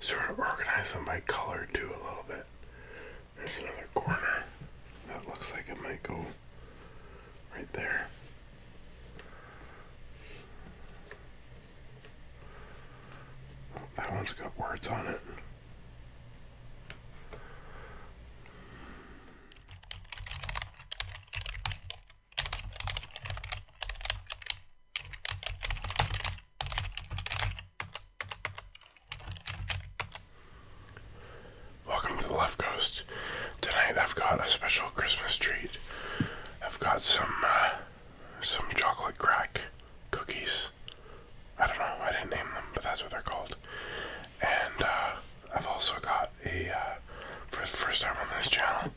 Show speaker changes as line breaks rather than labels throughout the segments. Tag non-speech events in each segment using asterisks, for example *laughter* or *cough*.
Sort of organize them by color too a little bit. There's another corner that looks like it might go right there. that one's got words on it. Welcome to the Left Coast. Tonight I've got a special Christmas treat. I've got some uh, some chocolate crack cookies. I don't know, I didn't name them, but that's what they're called. And uh, I've also got a, uh, for the first time on this channel,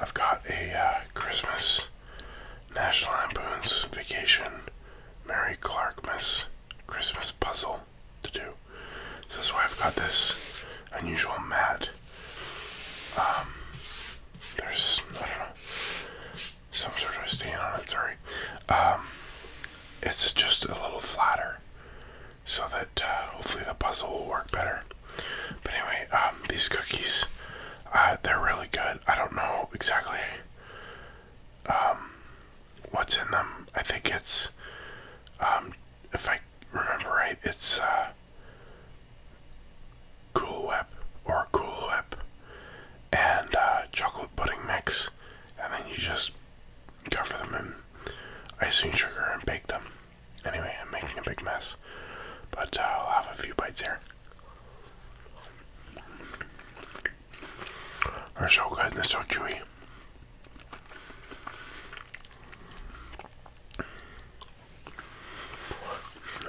I've got a Christmas National Lampoon's Vacation, Mary Clarkmas Christmas puzzle to do. So that's why I've got this unusual mat. Um, there's, I don't know, some sort of stain on it, sorry. Um, it's just a little flatter so that uh, hopefully the puzzle will work better. But anyway, um, these cookies, uh, they're really good. I don't know exactly um, what's in them. I think it's, um, if I remember right, it's uh, Cool Whip or Cool Whip and uh, chocolate pudding mix, and then you just cover them in icing sugar and bake them. Anyway, I'm making a big mess, but I'll have a few bites here. They're so good and they're so chewy.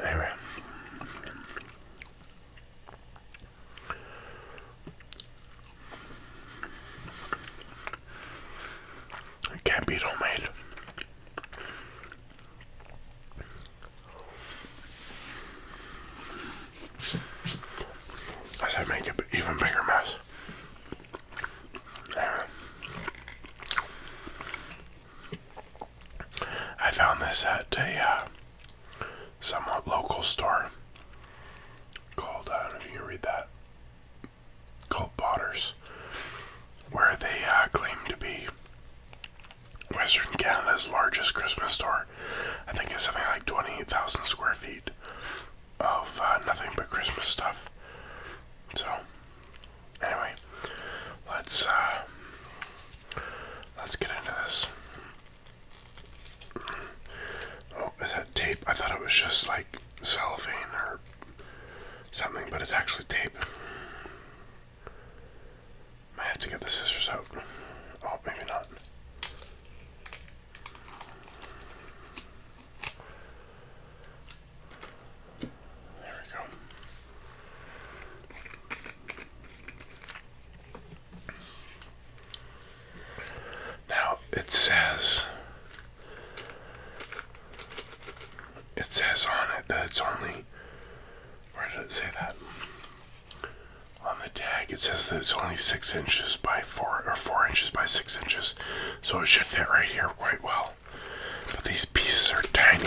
Anyway. I can't beat homemade. I said make an even bigger mess. I found this at a uh, somewhat local store called, uh, I don't know if you read that, called Potters, where they uh, claim to be Western Canada's largest Christmas store. I think it's something like 28,000 square feet of uh, nothing but Christmas stuff. So, anyway, let's uh, let's get into this. Oh, is that tape? I thought it was just like cellophane or something, but it's actually tape. I have to get the scissors out. Oh, maybe not. There we go. Now it says it says on it that it's only where did it say that on the tag it says that it's only six inches by four or four inches by six inches so it should fit right here quite well but these pieces are tiny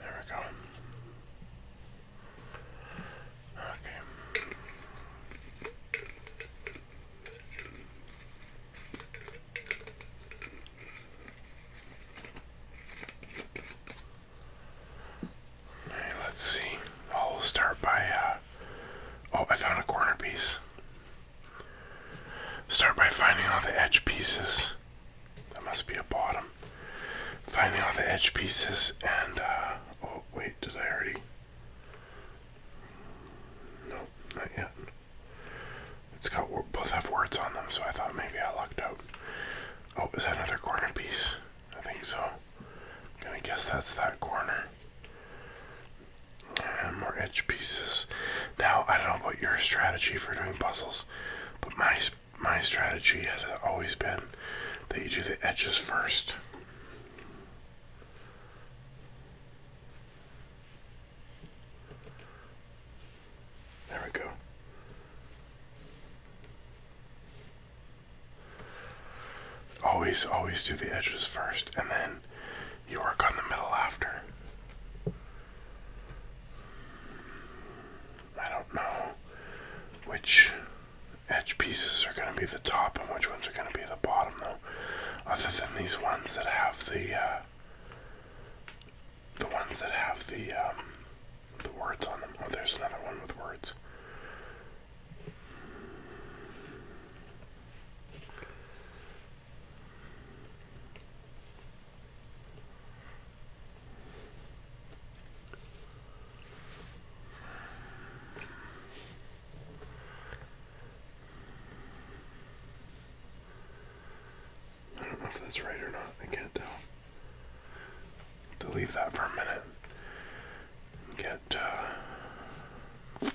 there we go Okay. let's see. I'll start by, uh, oh, I found a corner piece. Start by finding all the edge pieces. That must be a bottom finding all the edge pieces and uh, oh wait did I already no not yet it's got both have words on them so I thought maybe I lucked out oh is that another corner piece I think so i gonna guess that's that corner more edge pieces now I don't know about your strategy for doing puzzles but my my strategy has always been that you do the edges first. There we go. Always, always do the edges first, and then you work on the middle after. I don't know which edge pieces are going to be the top and which ones are going to be the bottom, though. Other than these ones that have the uh, the ones that have the um, the words on them. Oh, there's another one with words. I don't know if that's right or not. I can't tell. To leave that for a minute. Get uh,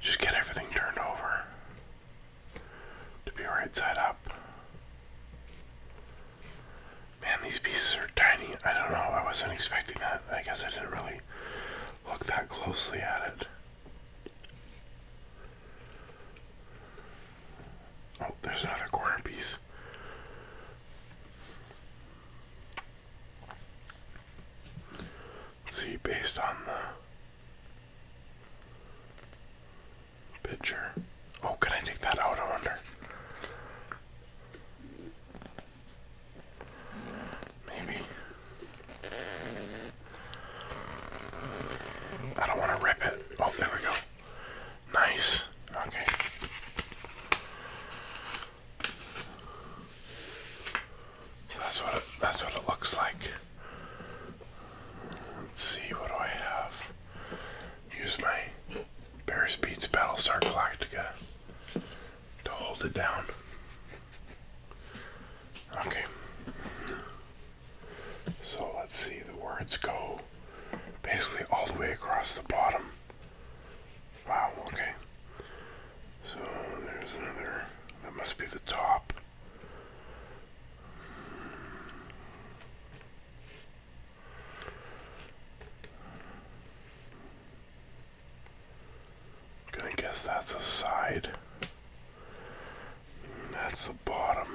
just get everything turned over to be right side up. Man, these pieces are tiny. I don't know. I wasn't expecting that. I guess I didn't really look that closely at it. Oh, there's another corner piece. see, based on the picture. Oh, can I take that out? I wonder. Maybe. I don't want to rip it. Oh, there we go. Nice. Okay. that's what it, that's what it looks like. Let's see what do I have. Use my
Paris beats Battlestar Galactica to hold it down.
Okay. So let's see, the words go basically all the way across the bottom. Wow, okay. So there's another, that must be the top i guess that's a side. That's the bottom.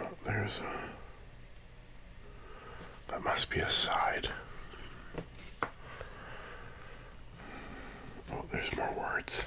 Oh, there's a. That must be a side. Oh, there's more words.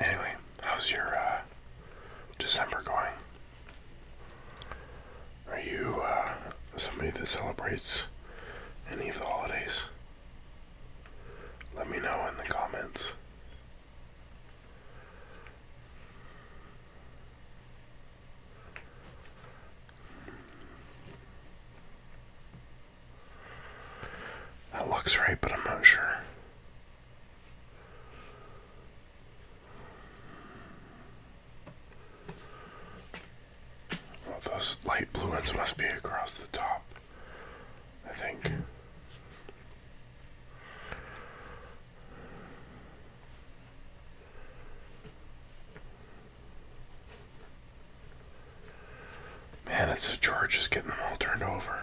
Anyway, how's your uh, December going? Are you uh, somebody that celebrates any of the holidays? Let me know in the comments. That looks right, but I'm not sure those light blue ones must be across the top, I think. Man, this a George just getting all turned over.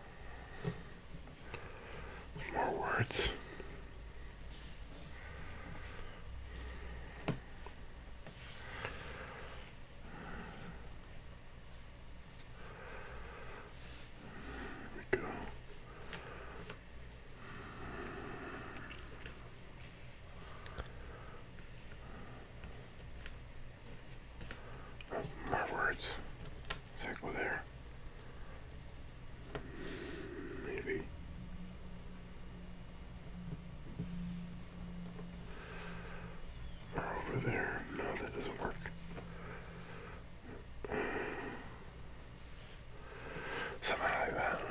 More words. There we go. More words. go there? Maybe. over there. No, that doesn't work. Something like uh, that.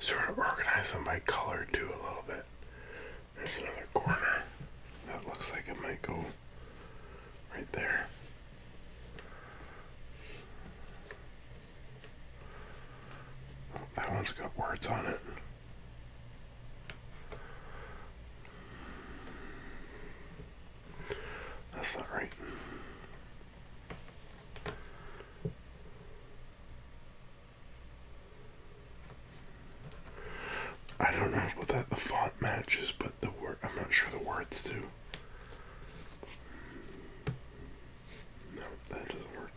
Sort of organize them by color too a little bit. There's another corner that looks like it might go right there. That one's got words on it. That's not right. I don't know what that the font matches, but the word I'm not sure the words do. No, that doesn't work.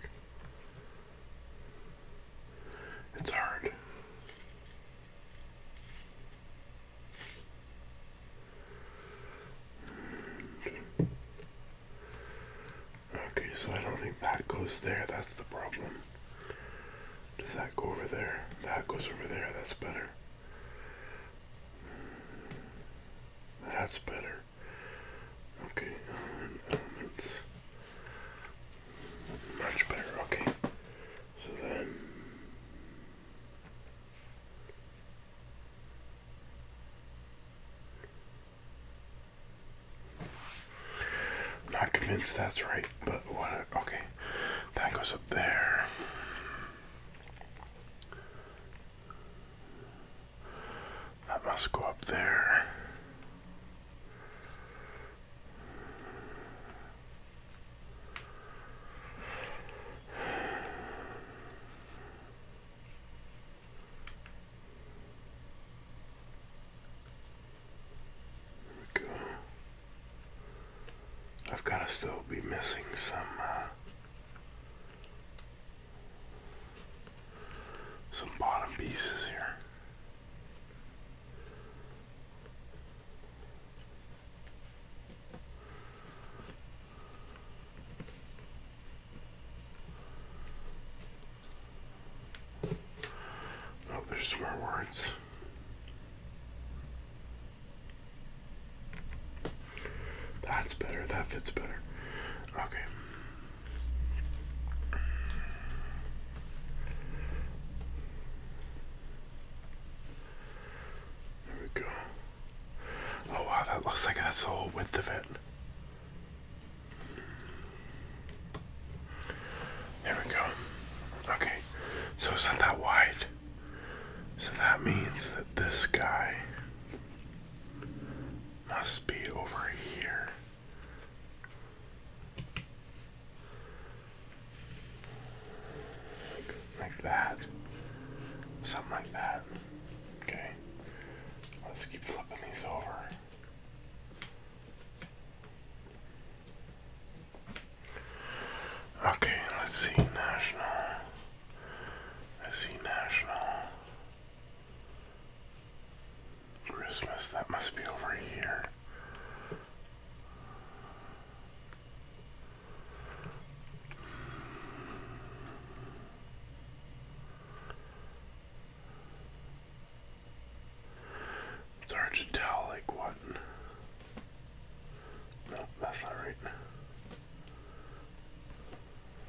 It's hard. Okay, so I don't think that goes there. That's the problem. Does that go over there? That goes over there. That's better. That's better. Okay, iron elements. Much better, okay. So then. Not convinced that's right, but what? Okay, that goes up there. That must go up there. There we go. I've got to still be missing some uh, some bottom pieces here. Oh, there's more words. That's better. That fits better. Okay. There we go. Oh wow, that looks like that's the whole width of it. There we go. Okay, so it's not that wide. So that means that this guy must be over here like that. Something like that. Okay. Let's keep flipping these over. Okay, let's see national. Let's see national. Christmas, that must be over here. It's hard to tell, like, what. No, that's not right.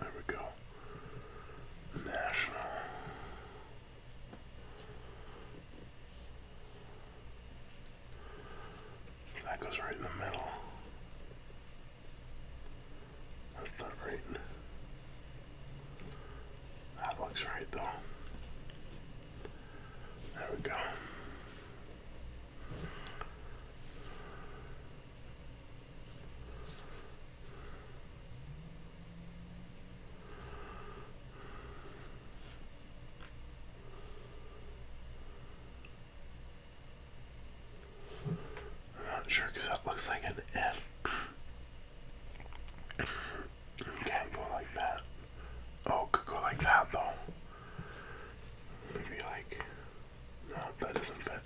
There we go. National. That goes right in the middle. That's not right. That looks right though. There we go. I'm not sure because that looks like an F. You can't go like that. Oh, could go like that though. Maybe like. No, that doesn't fit.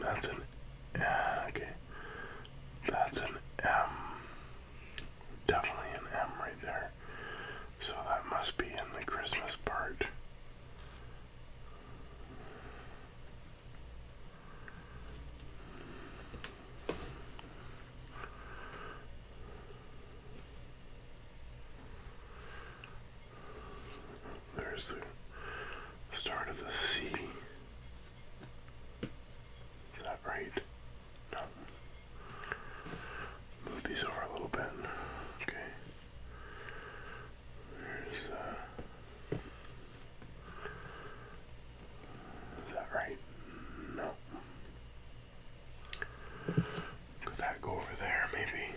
That's an okay. That's an M. Definitely an M right there. So that must be in the Christmas
part. There's the start of the sea. Is that right? No. Move these over a little bit. Okay. Uh, is that right? No. Could that go over there? Maybe.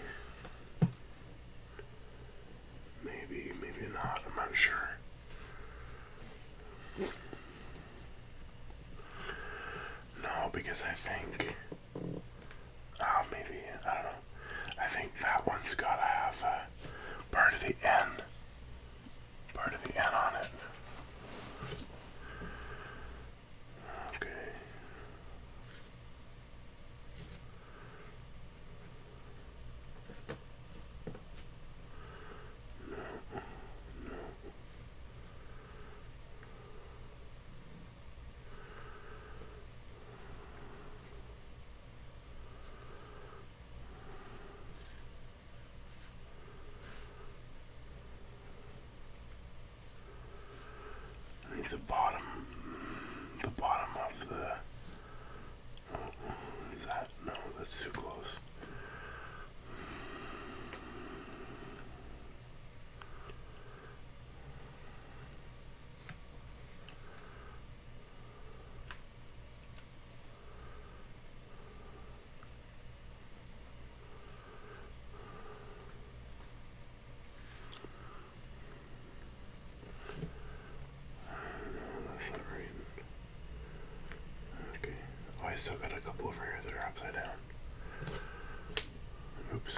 Maybe, maybe not. I'm not sure. No, because I think. Oh, maybe. I don't know. I think that one's gotta have a part of the N. Part of the N on it. Okay. No, no the bottom, the bottom of the, oh, is that, no, that's too close. Okay. Oh, I still got a couple over here that are upside down. Oops.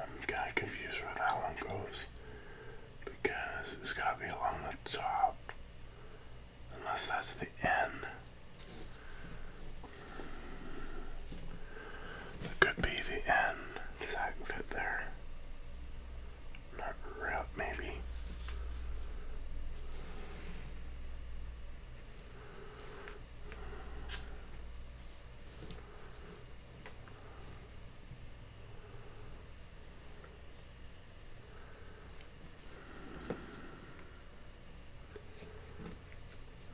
I'm kind of confused where that one goes because it's got to be
along the top, unless that's the end. It could be the N, because I can fit there. Not route, maybe.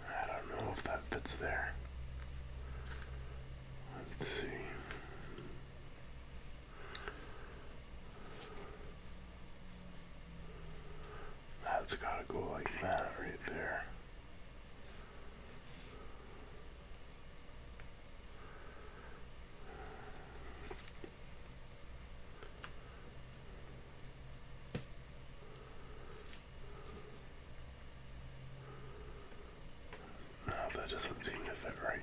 I don't know if that fits there. Let's see. That's gotta go like that right there. No, oh, that doesn't seem to fit right.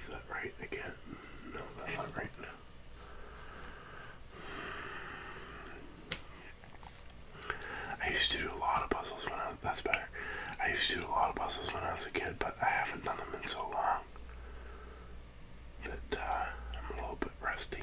Is that right? I No, that's not right. I used to do a lot of puzzles when I was, that's better. I used to do a lot of puzzles when I was a kid, but I haven't done them in so long that uh, I'm a little bit rusty.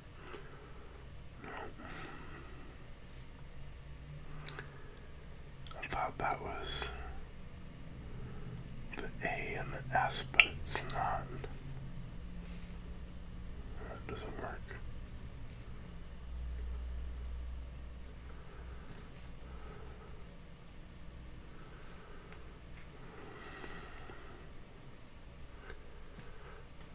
I thought that was the A and the S, but it's not. That doesn't work.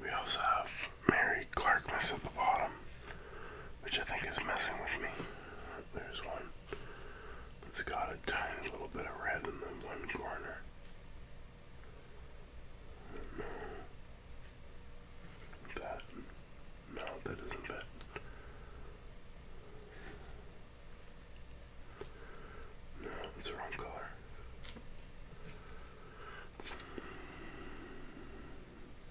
We also have Mary Clarkness at the bottom, which I think is messing with me. There's one that's got a tiny little bit of red in the one corner. No. That. No, that isn't it. No, it's the wrong color.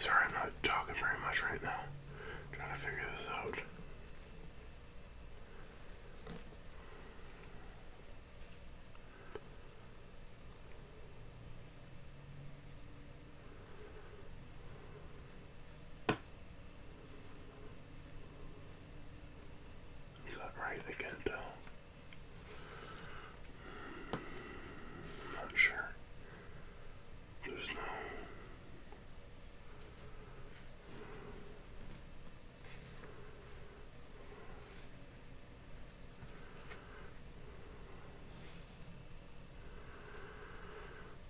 Sorry, I'm not talking very much right now. trying to figure this out. Is that right? They can't tell. Not sure. There's no.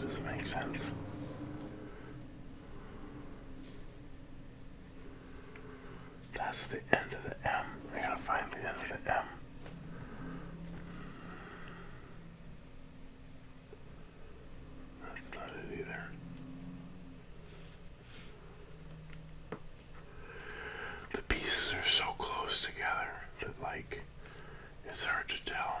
Does this make sense? That's the end of the M. I gotta find the end of the M. That's not it either. The pieces are so close together that, like, it's hard to tell.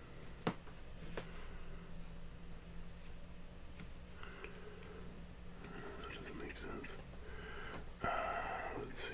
That doesn't make sense. Uh, let's see.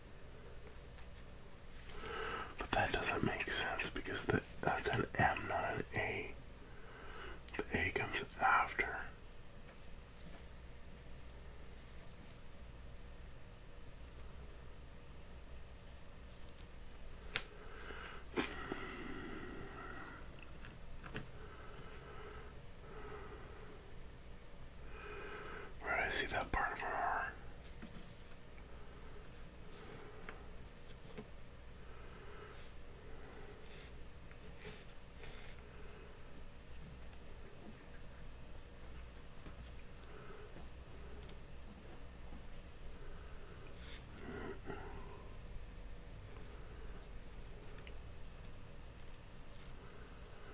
But that doesn't make sense because the, that's an M, not an A. The A comes after. Where did I see that part of her arm?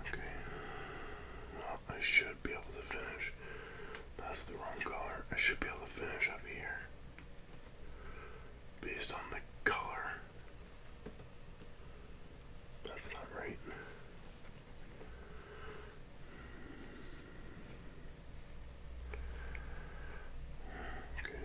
Okay. Well, I should be able to finish that's the wrong color. I should be able to finish up here. Based on the color. That's not right. Okay.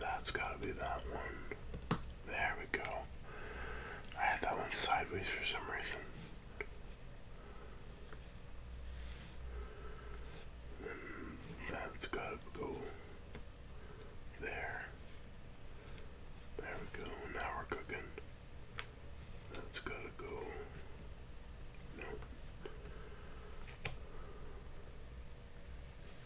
That's gotta be that one. There we go. I had that one sideways for some reason. Hmm, that's gotta go there. There we go. Now we're cooking. That's gotta go.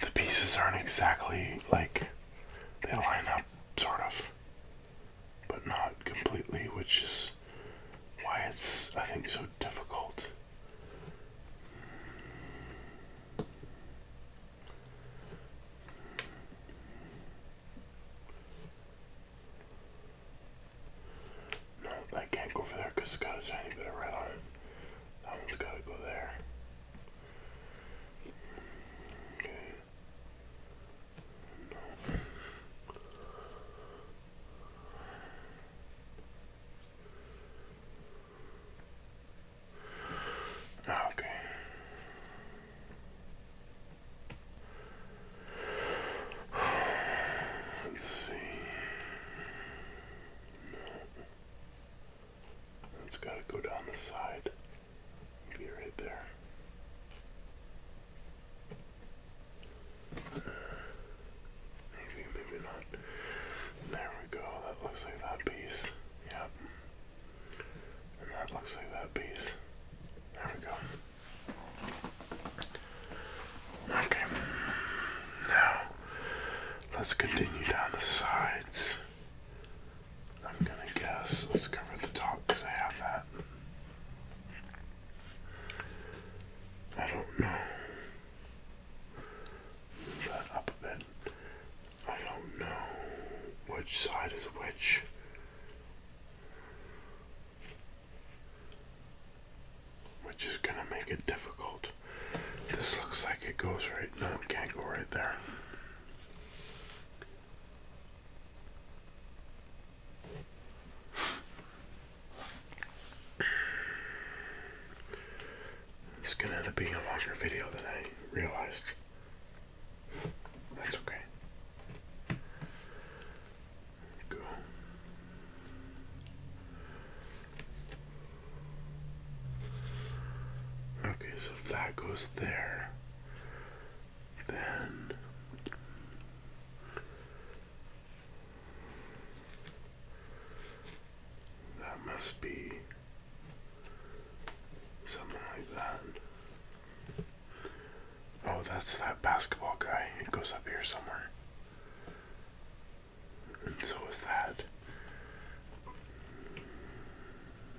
The pieces aren't exactly like they line up, sort of, but not completely, which is why it's, I think, so difficult. No, that can't go over there because it's got a tiny bit of red on it. That one's got to go there. Okay. No. *sighs* Okay. Let's see. It's got to go down the side. Be right there. maybe, maybe not. There we go. That looks like that piece. Yep. that looks like that piece. There we go. Okay. Now, let's continue down the sides. I'm gonna guess. Let's cover the top because I have that. I don't know. Move that up a bit. I don't know which side is which. Which is gonna make it difficult. This looks like it goes right. No, it can't go right there. It's gonna end up being a longer video than I realized. That's okay. Go. Okay, so that goes there. Then that
must be something like that. Oh, that's that basketball guy. It goes up here somewhere.
And so is that.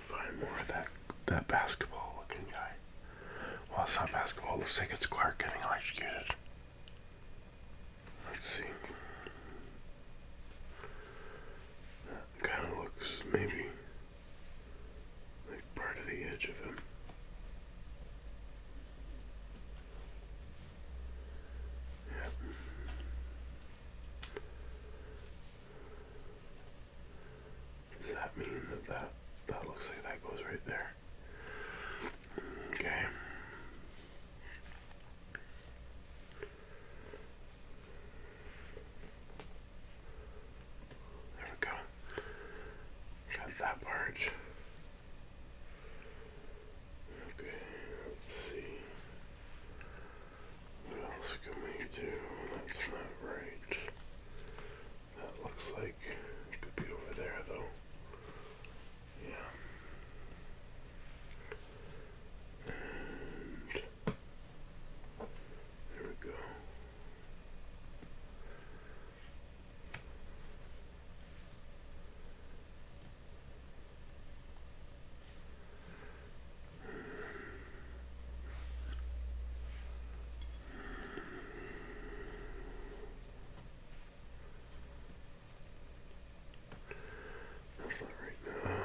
find more of that that basketball looking guy. Well, it's not basketball. looks like it's Clark getting electrocuted. Let's see. That kind of looks maybe like part of the edge of him. Does that mean that, that that looks like that goes right there? Okay. There we go. Got that part. Okay, let's see. What else can we do? That's not right. That looks like it could be over there though. Yeah. And there we go. That's not right now.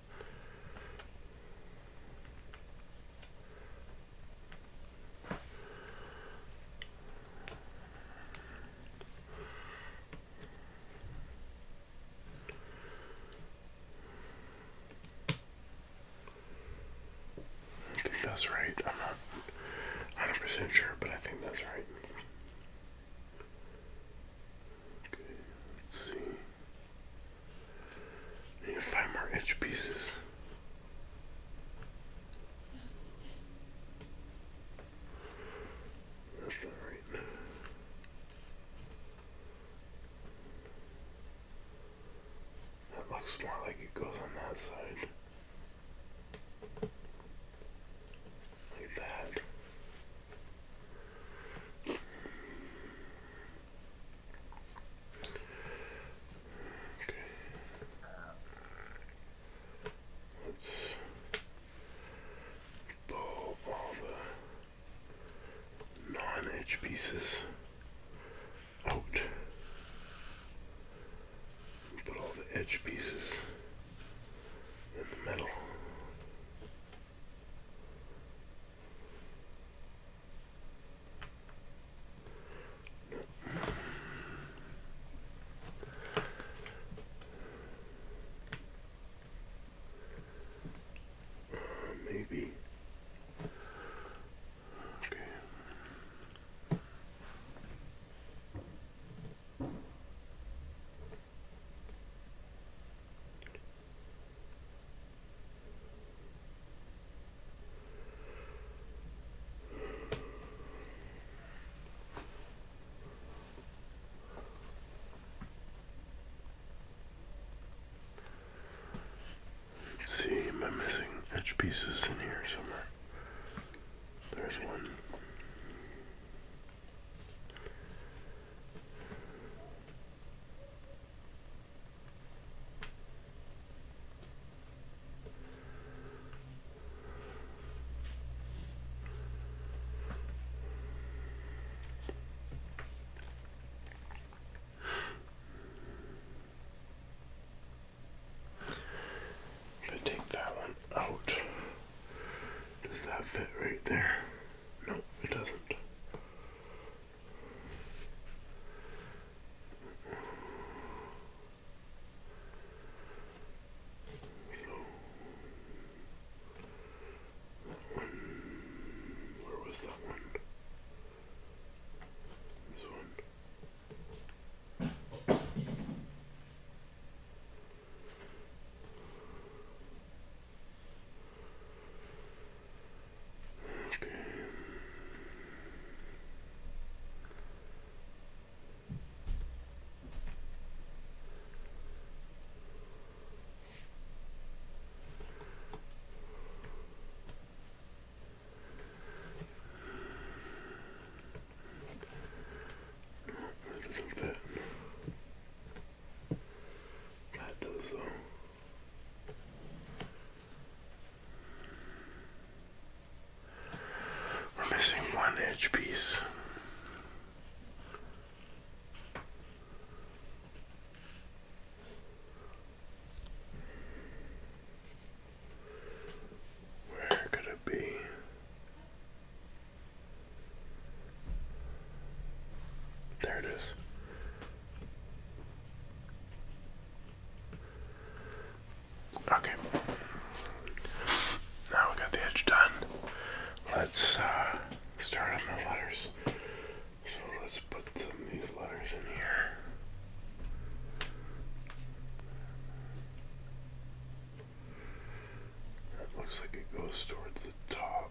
I think that's right. I'm not 100% sure, but I think that's right. Okay, let's see. You to find more edge pieces. That's all right. That looks more like it goes on that side. Like that. Okay. Let's pull all the non-edge pieces out. Put all the edge pieces in the middle maybe. Okay see, am I missing edge pieces in here somewhere? There's one. Should I take that one out? Does that fit right there? No, it doesn't. So that one where was that one? This one. Okay. No, that does though. We're missing one edge piece. Where could it be? There it is. Okay. Now we got the edge done. Let's uh, start on the letters. So let's put some of these letters in here. That looks like it goes towards the top.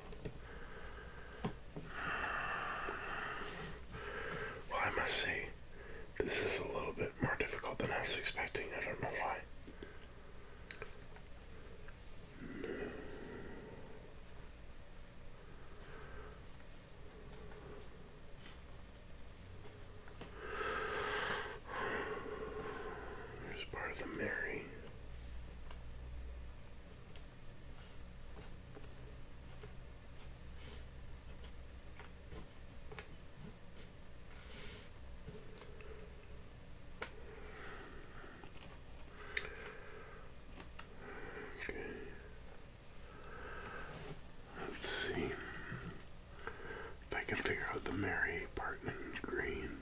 Well, I must say, this is a little bit more difficult than I was expecting. I don't know why. Here's part Mary. Okay. Let's see if I can figure out the Mary Parkman green.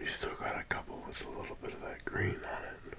We still got a couple with a little bit of that green on it.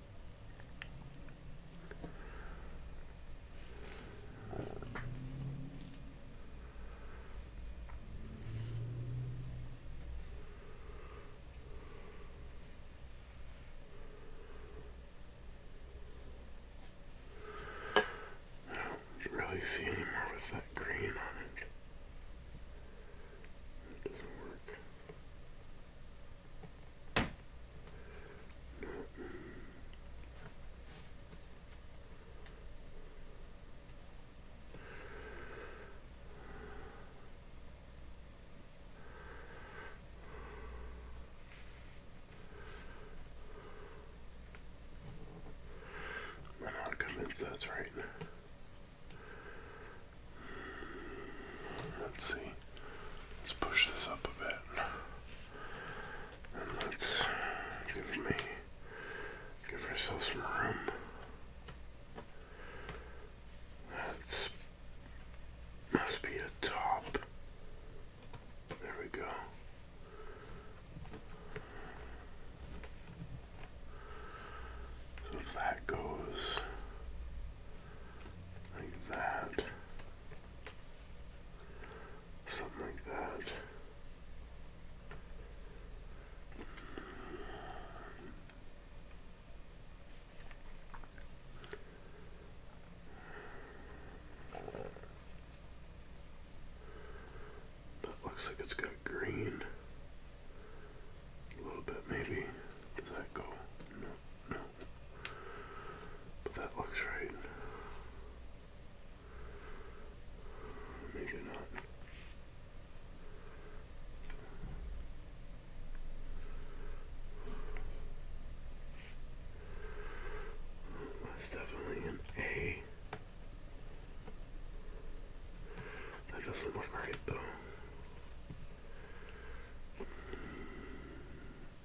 I don't really see any more with that green on it. doesn't work. I'm not convinced that's right. Let's see. Let's push this up a bit. And let's give me give ourselves some room. That's must be the top. There we go. So that goes like that. Something like that. That looks like it's got green. A little bit, maybe. Does that go? No, no. But that looks right. Maybe not. That's definitely an A. That doesn't look right though.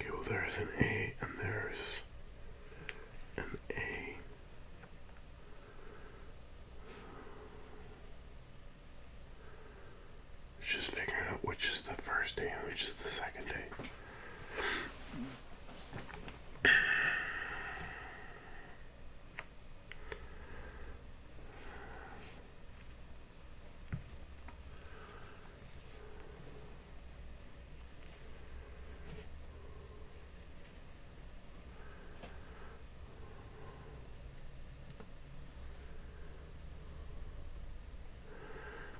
Okay, well there's an A and there's an A. just figuring out which is the first day and which is the second day.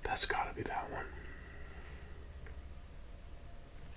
That's got to be that one.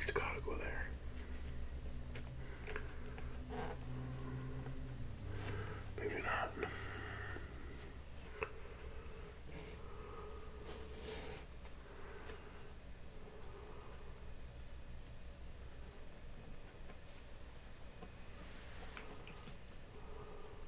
It's gotta go there. Maybe not.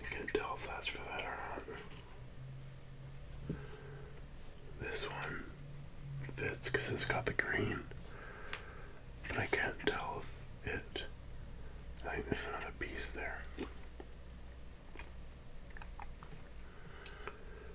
I can't tell if that's for that or not. This one fits because it's got the green, but I can't tell it. I think a piece there.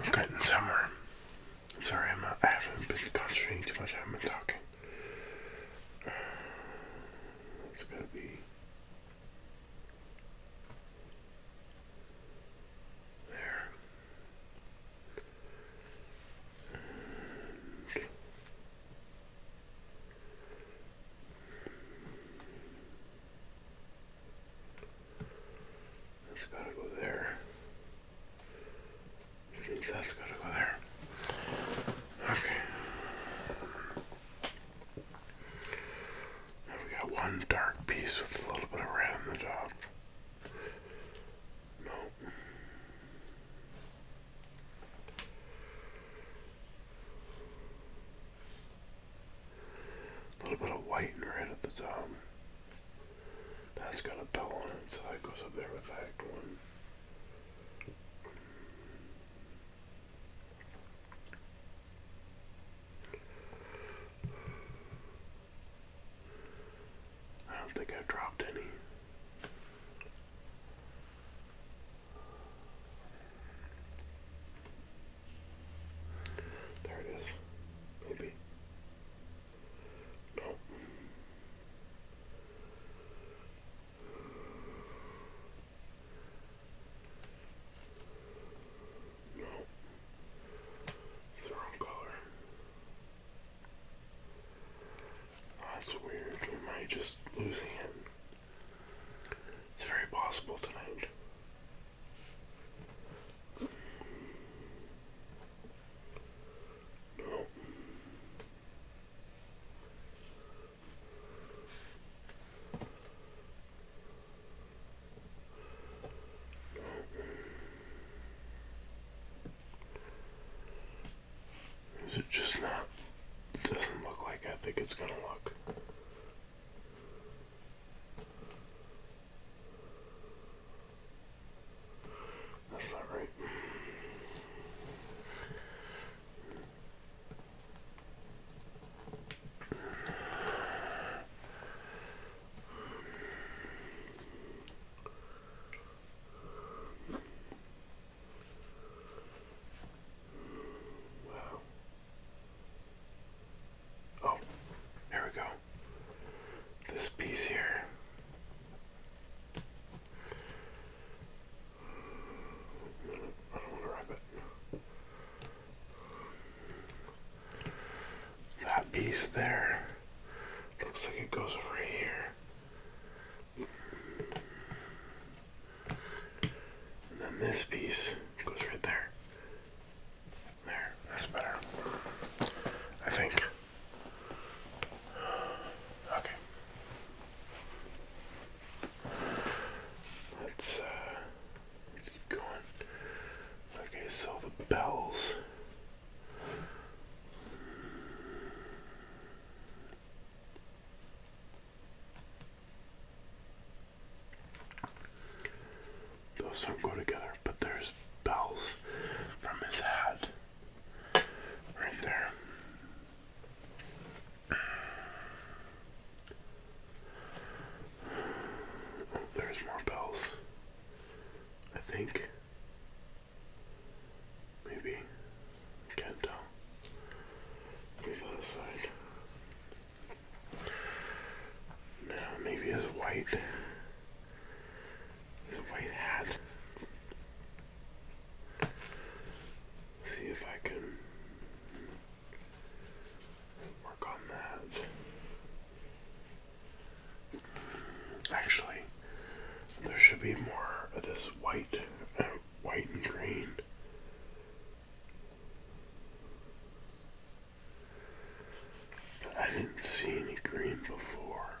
I'm getting somewhere. Sorry, I'm not, uh, I haven't been concentrating too much. I haven't been talking. Uh, it's gonna be. There. And it's gotta go there. That's gotta go there. Okay. we got one dark piece with a little bit of red on the top. No. A little bit of white and red at the top. That's got a bell on it, so that goes up there with that 1. I don't think I dropped any. There it is. Maybe.
No. No. It's the wrong color. That's weird. We might just lose hand. It's very possible
tonight. Is it just not? Doesn't look like I think it's gonna look. That's not right. Wow. Oh, here we go this piece here. I don't to wrap it. That piece there looks like it goes over here. And then this piece goes right there. There, that's better. I think. Okay. Uh, let's, keep going. Okay, so the bells. Those don't go together, but there's bells from his head Right there. Oh, there's more bells. I think. Maybe. Can't tell. Leave that aside. Now maybe it's white. His white hat. See if I can work on that. Actually, there should be more of this white, uh, white and green. I didn't see any green before.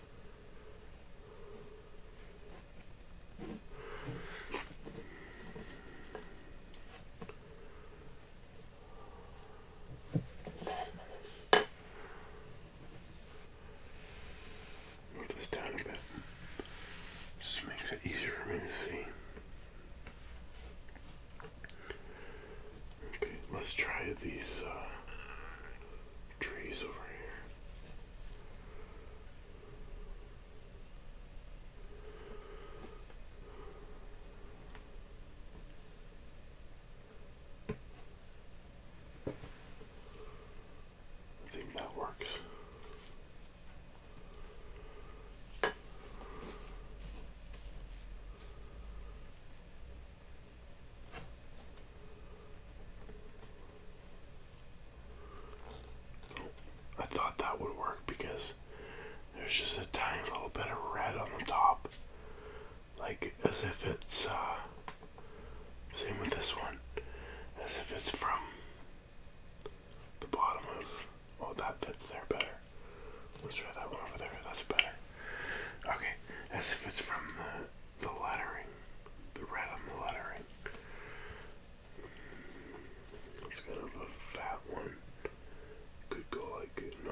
Put this down a bit. Just makes it easier for me to see. Okay, let's try these uh, trees over here. I think that works. I thought that would work because there's just a tiny little bit of red on the top. Like as if it's, uh, same with this one, as if it's from the bottom of, oh that fits there better. Let's try that one over there, that's better. Okay, as if it's from the, the lettering. The red of the lettering. It's kind of a fat one. Could go like no.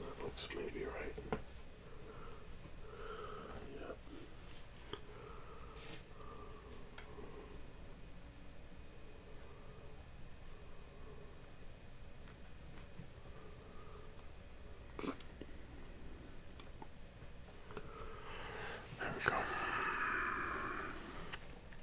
That looks maybe right. Yep. There we go.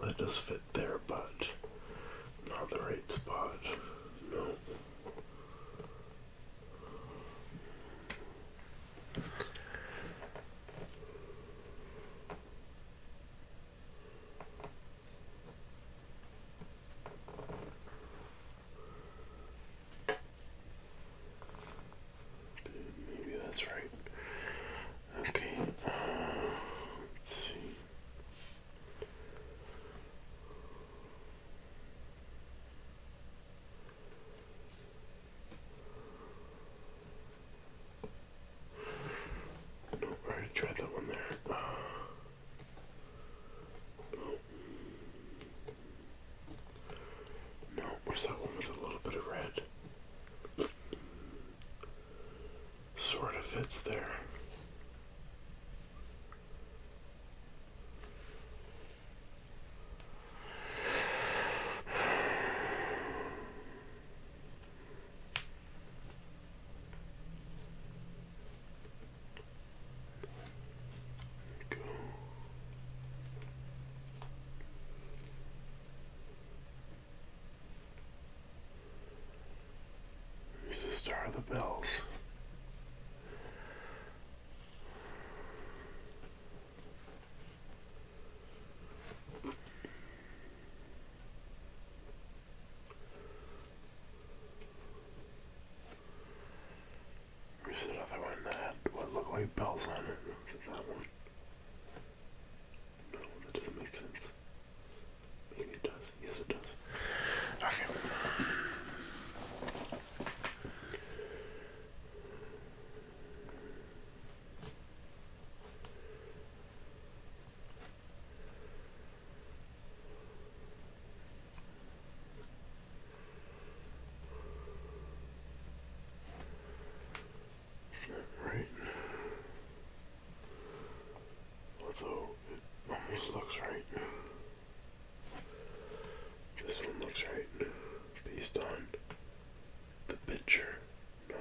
that does fit there, but not the right spot. No. Maybe that's right. Okay, uh, let's see. No, I tried that one there. Uh, no, where's that one with a little bit of red? Sort of
fits there. There we go.
the Star of the Bells. There's another one that had what looked like bells on it that one? No, that doesn't make sense. Maybe it does. Yes, it does. Okay. Is that right? Although it almost looks right. This one looks right based on the picture. No,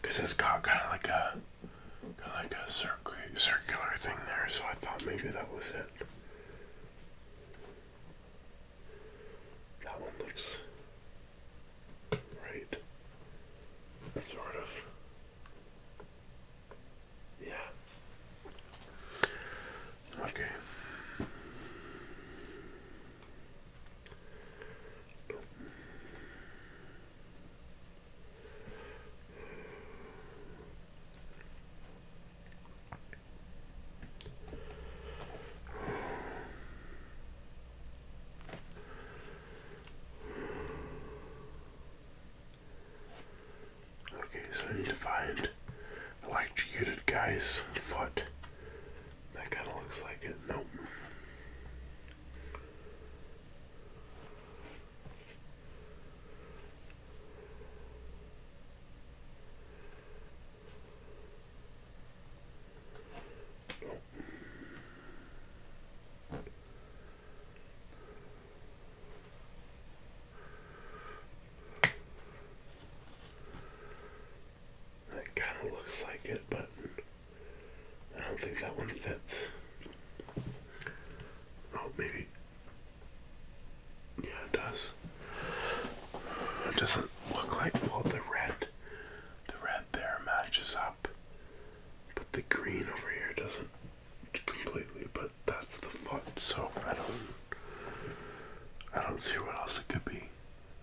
because it's got kind of like a like a circ circular thing there, so I thought maybe that was it. That one looks right, sort of. Yeah. Okay. Okay, so I need to find the electrocuted guy's foot that kind of looks like it. Nope. nope. It kind of looks like it, but I don't think that one fits. Oh, maybe. Yeah, it does. It doesn't look like, well, the red, the red there matches up, but the green over here doesn't completely, but that's the foot, so I don't, I don't see what else it could be.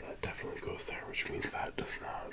That definitely goes there, which means that does not.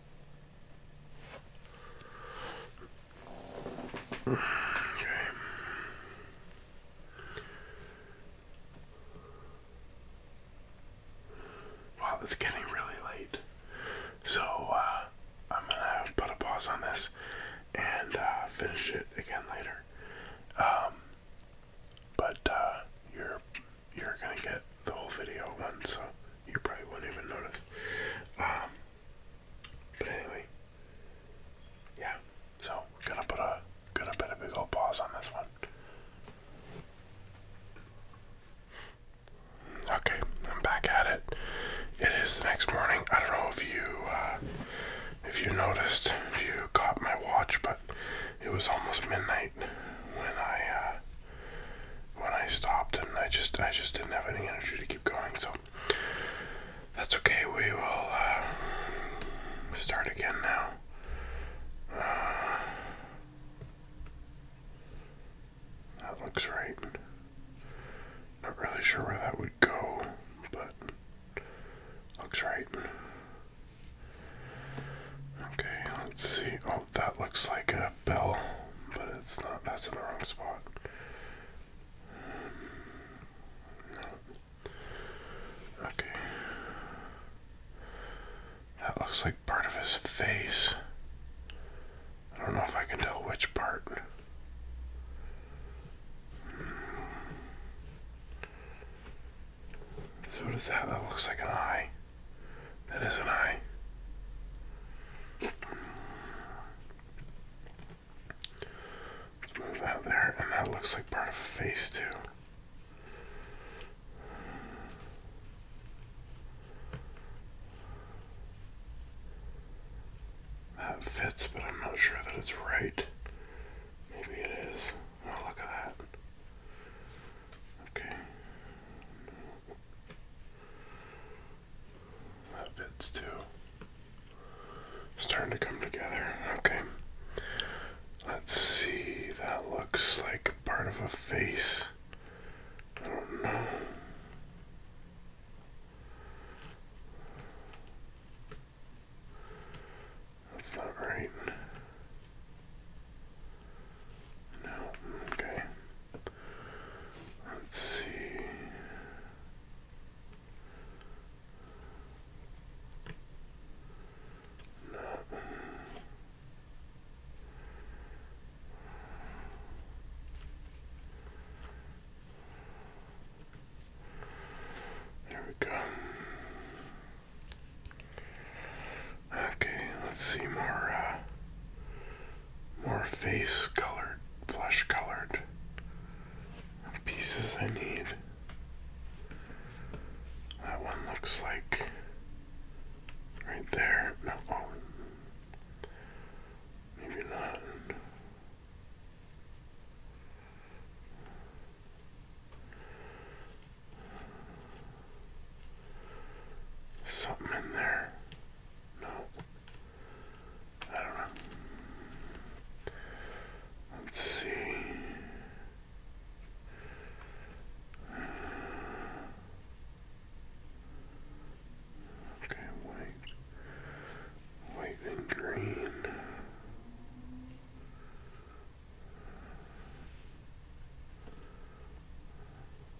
Okay. it's getting really late. So, uh, I'm gonna put a pause on this and uh, finish it again later. Um, but uh, you're you're gonna get the whole video once, so you probably won't even notice. Um, but anyway, yeah. So gonna put a gonna put a big old pause on this one. Okay, I'm back at it. It is the next morning. I don't know if you uh, if you noticed, if you caught my watch, but
it was almost midnight when I uh, when I stopped, and I just
I just didn't have any energy to keep going. So that's okay. We will uh, start again now. Uh, that looks right. Not really sure where that would go, but looks right. Okay, let's see. Oh, that looks like a bell, but it's not. That's in the wrong spot. Okay. That looks like part of his face. I don't know if I can tell which part. So does that? That looks like an eye. That is an eye. Move that there, and that looks like part of a face too. That fits, but I'm not sure that it's right. Maybe it is. Oh, look at that. Okay. That fits too. Starting to come together. Okay. Let's see. That looks like part of a face. I don't know. That's not right.
No, okay. Let's see.
There we go. Okay, let's see more uh, more face colored, flesh colored pieces I need. That one looks like
right there. No, maybe not.
Something in there. No. I don't know. Let's see. Okay, white. White and green.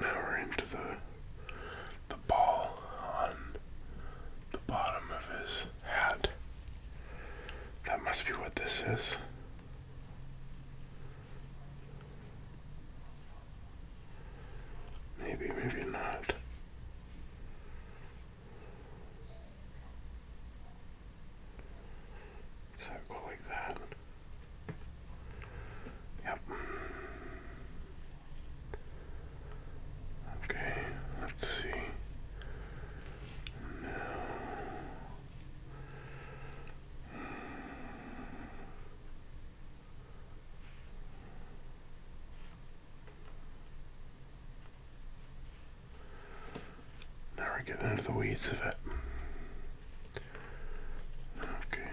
now we're into the the ball on the bottom of his hat. That must be what this is. Maybe, maybe not. So go like that. Yep. Okay, let's see. Now now we're getting into the weeds of it. Okay.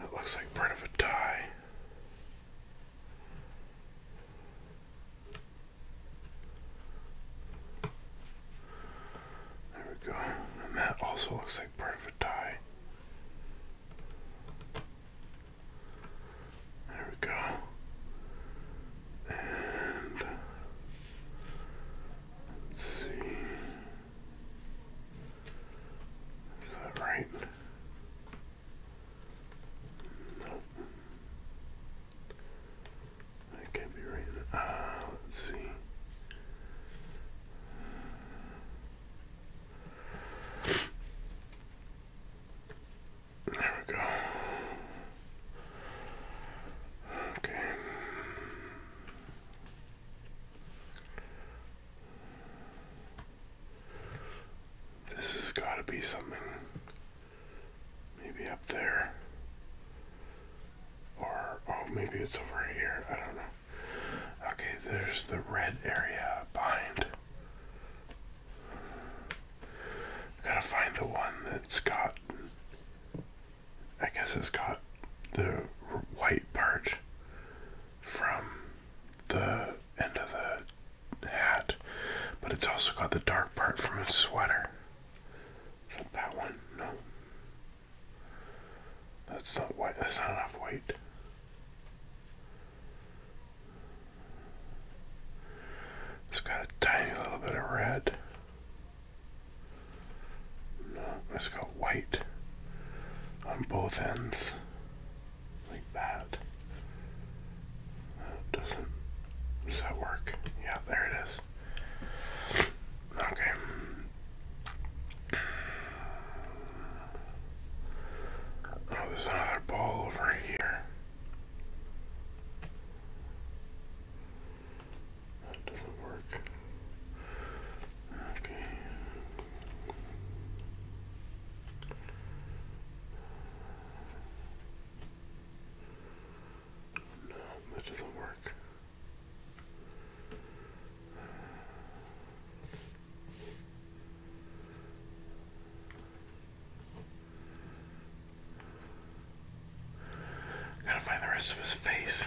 That looks like part of a tie. There we go. And that also looks like part of a tie. There we go. And see. Is that right? No. That can't be right. Ah, let's see. There we go. Okay. This has got to be something. Maybe up there. Or, oh, maybe it's over here. I don't know. Okay, there's the red area behind. Gotta find the one that's got. I guess it's got the white part from the end of the hat, but it's also got the dark part from his sweater. Is that one? No. That's not white. That's not enough white. It's got a tiny little bit of red. No, it's got white on both ends like that. doesn't
that work? Yeah, there it is. Okay.
Oh, there's another ball over here. That doesn't work. Okay, that doesn't work. Gotta find the rest of his face.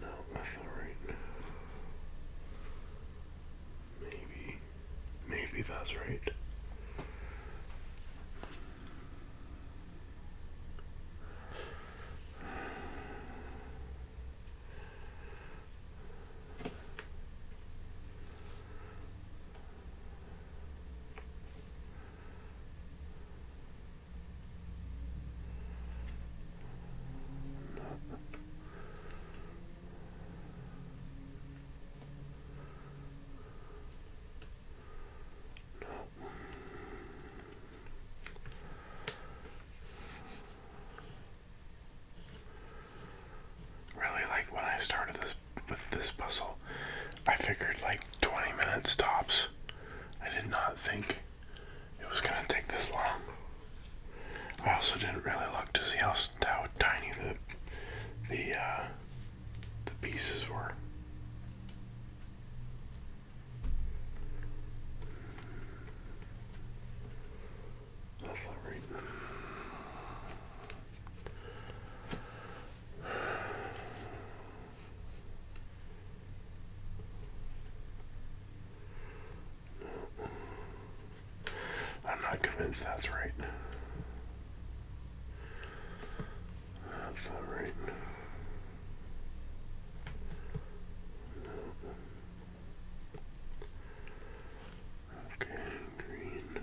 No, that's all right. Maybe, maybe that's right. Not, Really, like when I started this this puzzle, I figured like 20 minutes tops. I did not think it was going to take this long. I also didn't really look to see how, tiny the the uh, the pieces were.
That's not right.
I'm not convinced that's right. That's not right. Okay, green.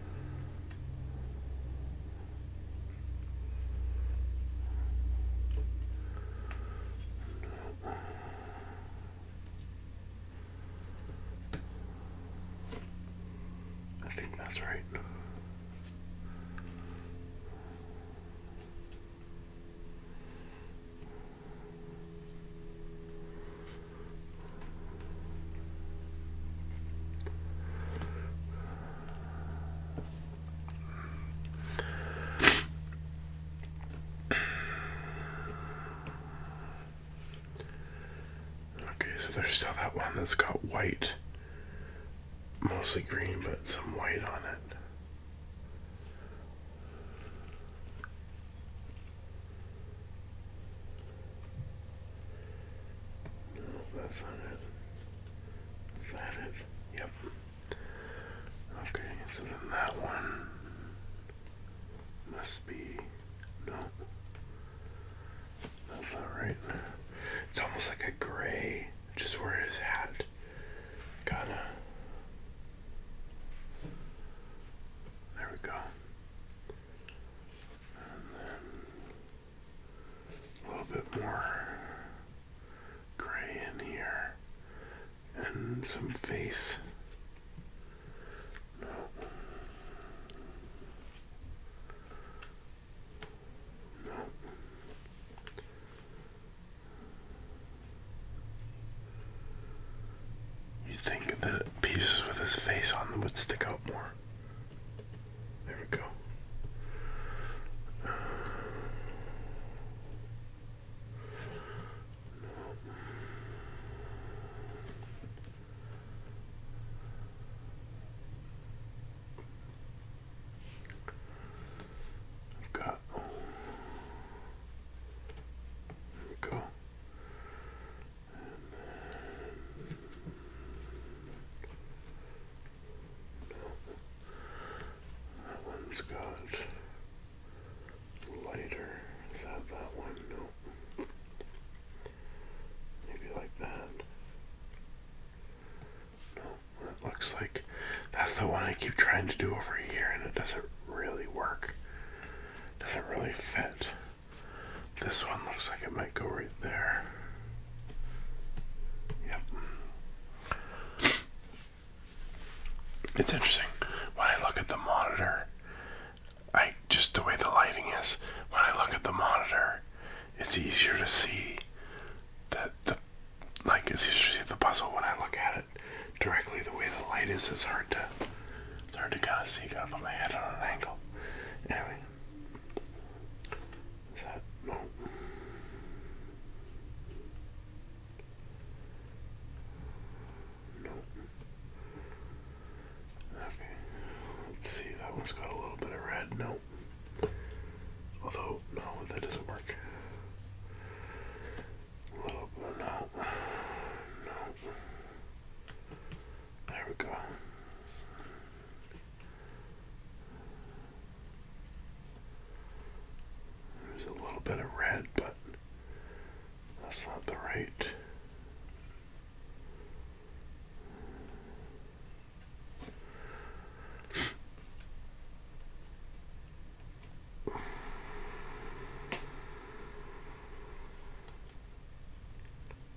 I think that's right. Okay, so there's still that one that's got white, mostly green, but some white on it. No, that's not it. Is that it? Yep. Okay, so then that one must be no. That's not right. It's almost like a gray, just where his hat kinda there we go a little bit more gray in here, and some face. No. No. You'd think that pieces with his face on them would stick out more. There we go. got go that one's got lighter. Is that that one? No. Maybe like that. No, it looks like that's the one I keep trying to do over here, and it doesn't really work. Doesn't really fit. This one looks like it might go right there. Yep. It's interesting. When I look at the monitor, I just the way the lighting is, when I look at the monitor, it's easier to see that the like it's easier to see the puzzle when I look at it directly the way the light is is hard to it's hard to kind of see. Gotta put my head on an angle. Anyway. Is that. No. No. Okay. Let's see. That one's got a little bit of red. No. Although, no, that doesn't work. No. No. There we go. There's a little bit of red, but that's not the right.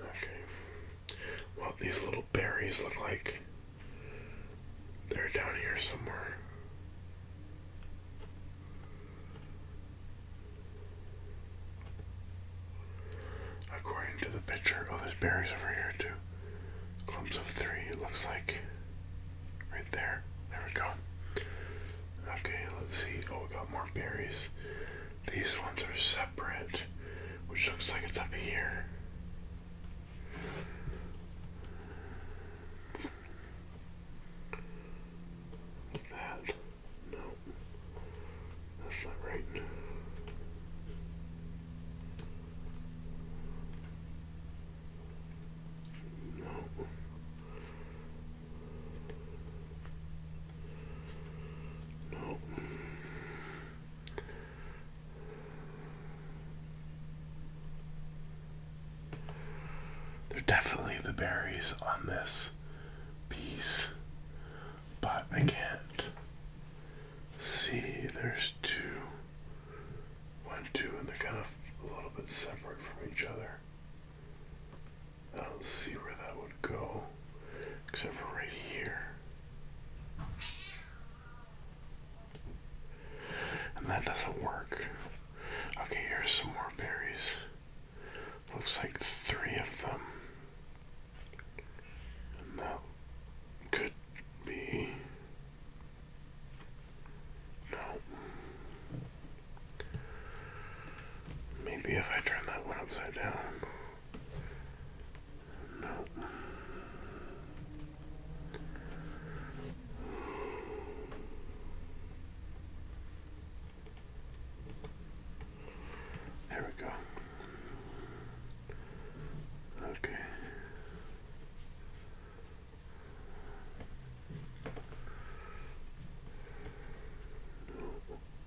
Okay. Well, these little berries look like they're down here somewhere. According to the picture, oh, there's berries over here too. Clumps of three, it looks like. Right there. There we go. Okay, let's see. Oh, we got more berries. These ones are separate, which looks like it's up here. That. No. That's not right. No. Nope. They're definitely the berries on this piece, but I can't see. There's two, one, two, and they're kind of a little bit separate from each other. I don't see where that would go, except for right here. And that doesn't work. Okay, here's some more berries. Looks like three of them. And that could be. No. Maybe if I turn that one upside down. No. There we go. Okay. No.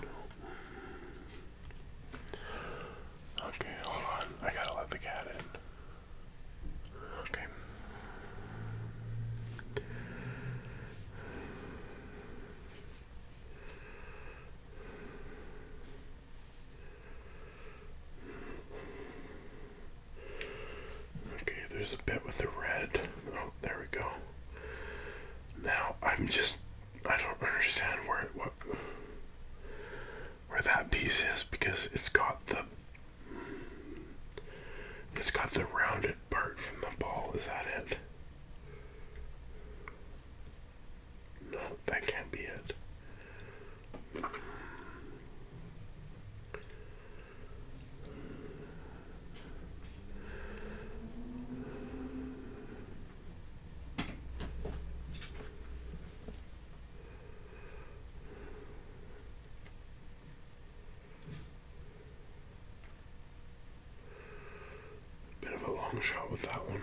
No. Okay, hold on. I gotta let the cat in. Okay. Okay, there's a bit with the red. Oh, there we go. Now I'm just I don't understand where it, what where that piece is because it's got the it's got the rounded part from the ball. Is that it? No, that can't be it. Bit of a long shot with that one.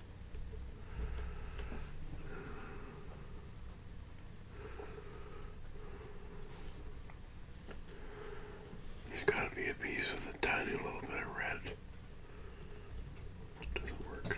There's got to be a piece with a tiny little bit of red. Doesn't work.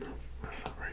No, that's not right.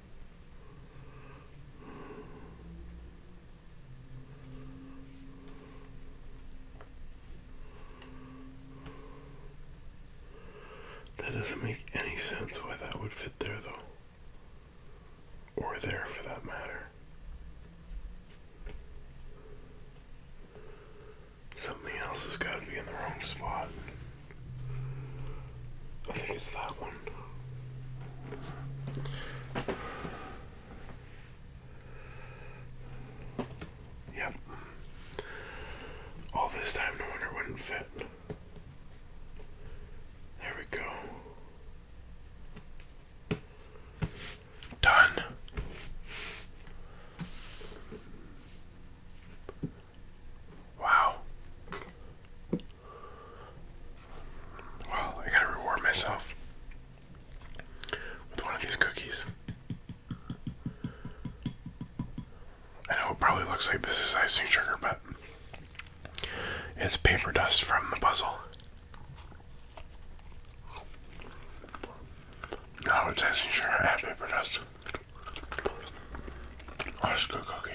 That doesn't make any sense why that would fit there, though. Or there, for that matter. Something else has got to be in the wrong spot. I think it's that one. Yep. All this time, no wonder it wouldn't fit. There we go. Done. Wow. Wow, I gotta reward myself with one of these cookies. I know it probably looks like this is icing sugar, but it's paper dust from the puzzle. No, it's icing sugar and paper dust. let oh, good go cookie.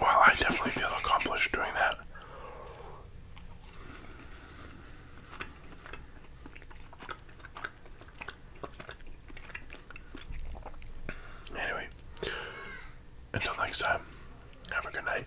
Well, I definitely feel accomplished doing that. Anyway, until next time, have a good night.